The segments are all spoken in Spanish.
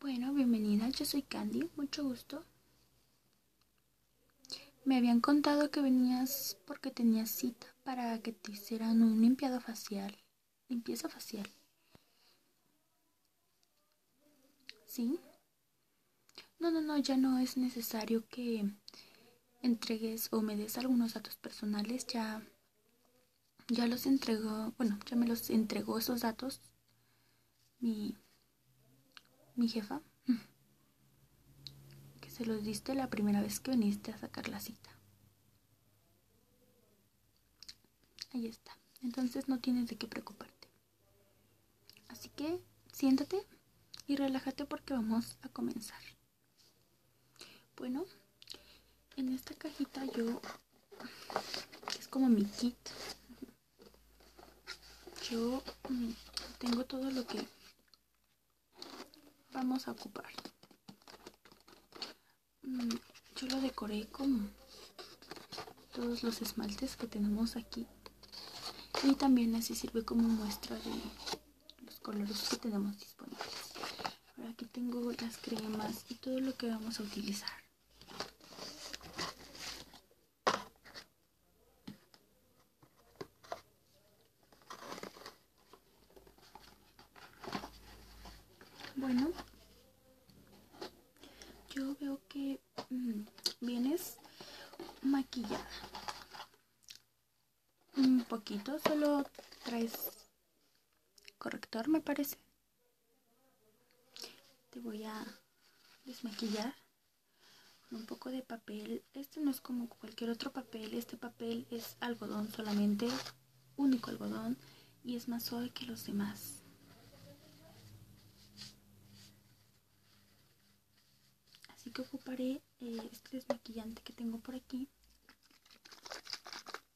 Bueno, bienvenida, yo soy Candy, mucho gusto. Me habían contado que venías porque tenías cita para que te hicieran un limpiado facial, limpieza facial. ¿Sí? No, no, no, ya no es necesario que entregues o me des algunos datos personales, ya ya los entregó, bueno, ya me los entregó esos datos mi, mi jefa, que se los diste la primera vez que viniste a sacar la cita. Ahí está, entonces no tienes de qué preocuparte. Así que siéntate y relájate porque vamos a comenzar. Bueno, en esta cajita yo es como mi kit. Yo mm, tengo todo lo que vamos a ocupar. Mm, yo lo decoré con todos los esmaltes que tenemos aquí. Y también así sirve como muestra de los colores que tenemos disponibles aquí tengo las cremas y todo lo que vamos a utilizar. Bueno, yo veo que mm, vienes maquillada un poquito, solo traes corrector me parece. Te voy a desmaquillar con un poco de papel. Este no es como cualquier otro papel, este papel es algodón solamente, único algodón y es más suave que los demás. Así que ocuparé eh, este desmaquillante que tengo por aquí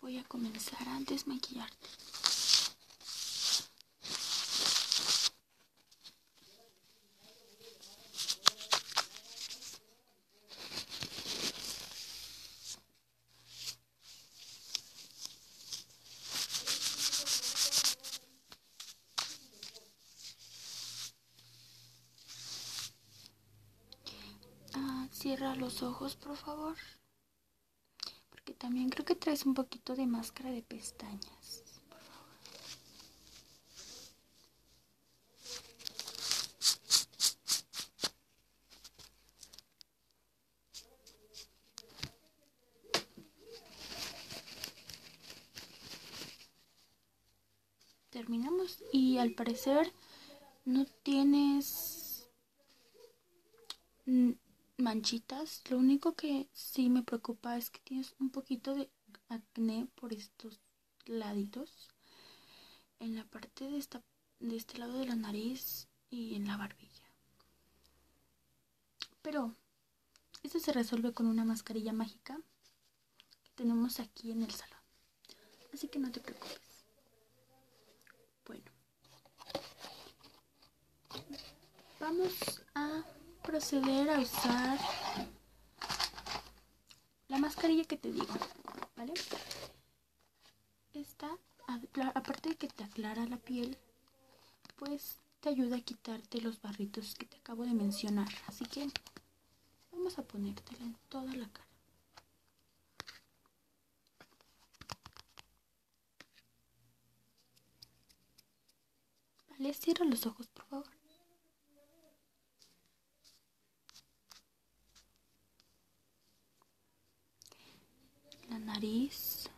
Voy a comenzar antes maquillarte Ah, cierra los ojos, por favor. Porque también creo que traes un poquito de máscara de pestañas terminamos y al parecer no tienes manchitas. Lo único que sí me preocupa es que tienes un poquito de acné por estos laditos. En la parte de, esta, de este lado de la nariz y en la barbilla. Pero esto se resuelve con una mascarilla mágica que tenemos aquí en el salón. Así que no te preocupes. Bueno, vamos a proceder a usar la mascarilla que te digo, ¿vale? Esta, aparte de que te aclara la piel, pues te ayuda a quitarte los barritos que te acabo de mencionar. Así que vamos a ponértela en toda la cara. Les cierro los ojos, por favor. La nariz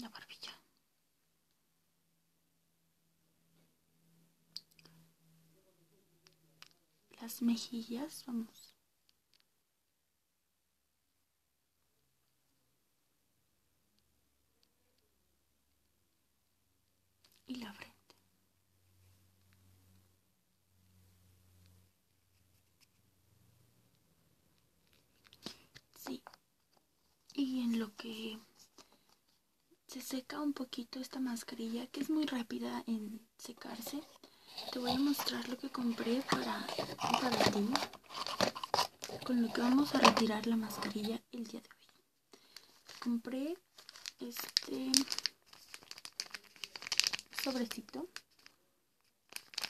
la barbilla. Las mejillas, vamos. Y la frente. Sí. Y en lo que se seca un poquito esta mascarilla, que es muy rápida en secarse, te voy a mostrar lo que compré para, ti. Con lo que vamos a retirar la mascarilla el día de hoy. Compré este sobrecito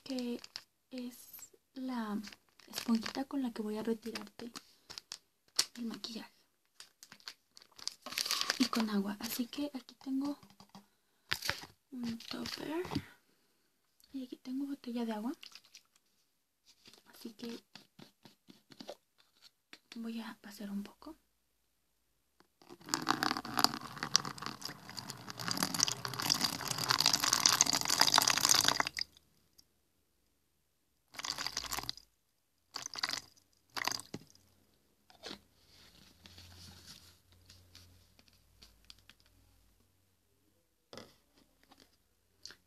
que es la esponjita con la que voy a retirarte el maquillaje y con agua así que aquí tengo un topper y aquí tengo botella de agua así que voy a pasar un poco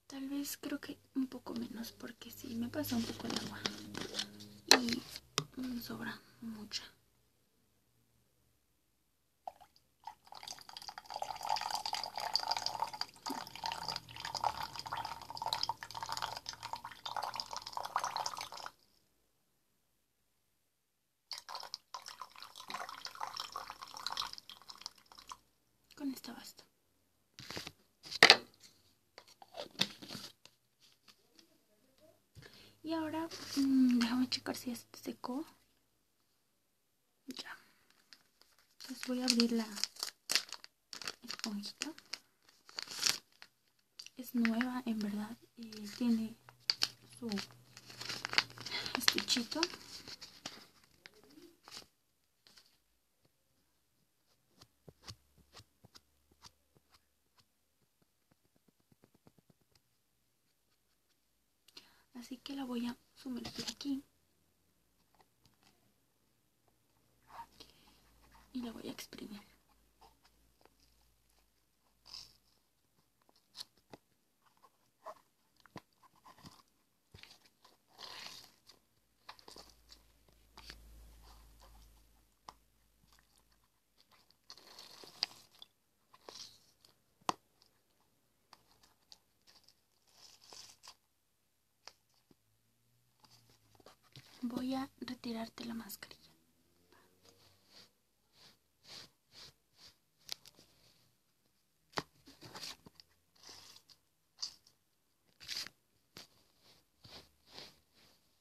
Tal vez creo que un poco menos porque sí, me pasa un poco el agua y sobra mucha. Con esta basta. Y ahora, mm, déjame checar si ya se secó. Ya. Entonces voy a abrir la esponjita. Es nueva, en verdad. Y tiene su estuchito así que la voy a sumergir aquí y la voy a exprimir Voy a retirarte la mascarilla.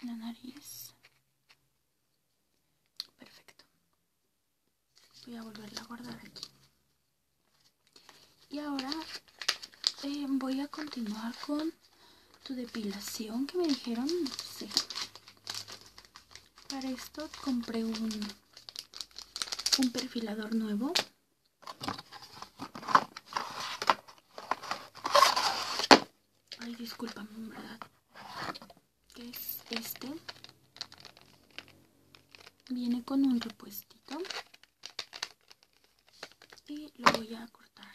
La nariz. Perfecto. Voy a volverla a guardar aquí. Y ahora em, voy a continuar con tu depilación que me dijeron. Para esto compré un, perfilador nuevo. Ay, discúlpame, verdad. es este. Viene con un repuestito. Y lo voy a cortar.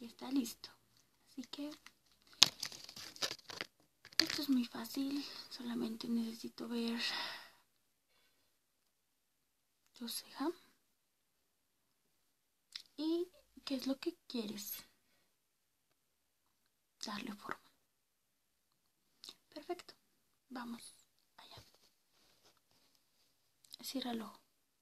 Y está listo. Así que esto es muy fácil. Solamente necesito ver tu ceja. Y qué es lo que quieres darle forma. Perfecto. Vamos allá. Cierra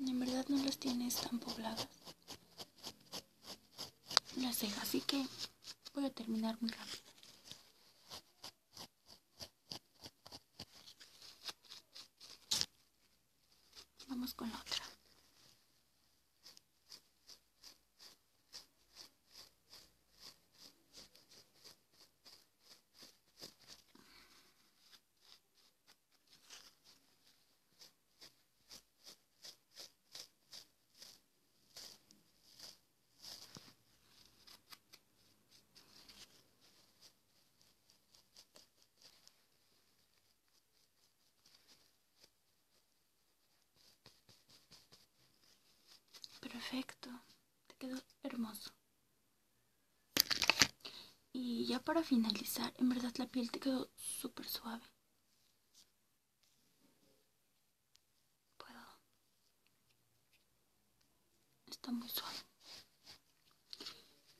En verdad no las tienes tan pobladas. Las cejas, así que voy a terminar muy rápido. Vamos con la otra. Perfecto, te quedó hermoso. Y ya para finalizar, en verdad la piel te quedó súper suave. Está muy suave.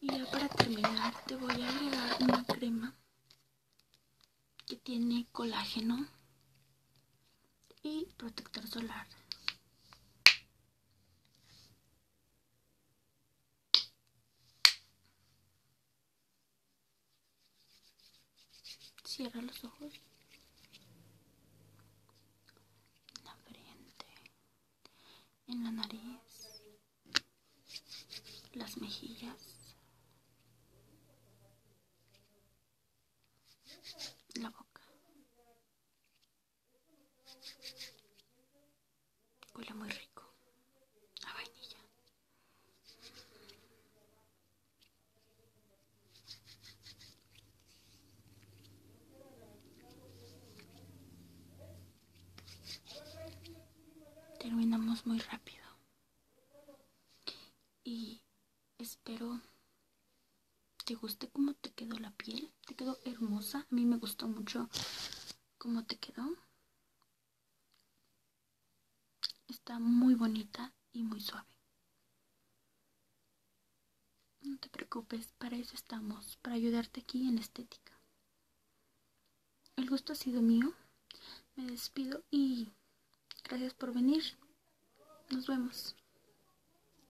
Y ya para terminar te voy a agregar una crema que tiene colágeno y protector solar. Cierra los ojos. En la frente. En la nariz. Las mejillas. la boca, Huele muy rico. A vainilla. Terminamos muy rápido. Y espero ¿Te guste cómo te quedó la piel? ¿Te quedó hermosa? A mí me gustó mucho cómo te quedó. Está muy bonita y muy suave. No te preocupes, para eso estamos, para ayudarte aquí en estética. El gusto ha sido mío. Me despido y gracias por venir. Nos vemos.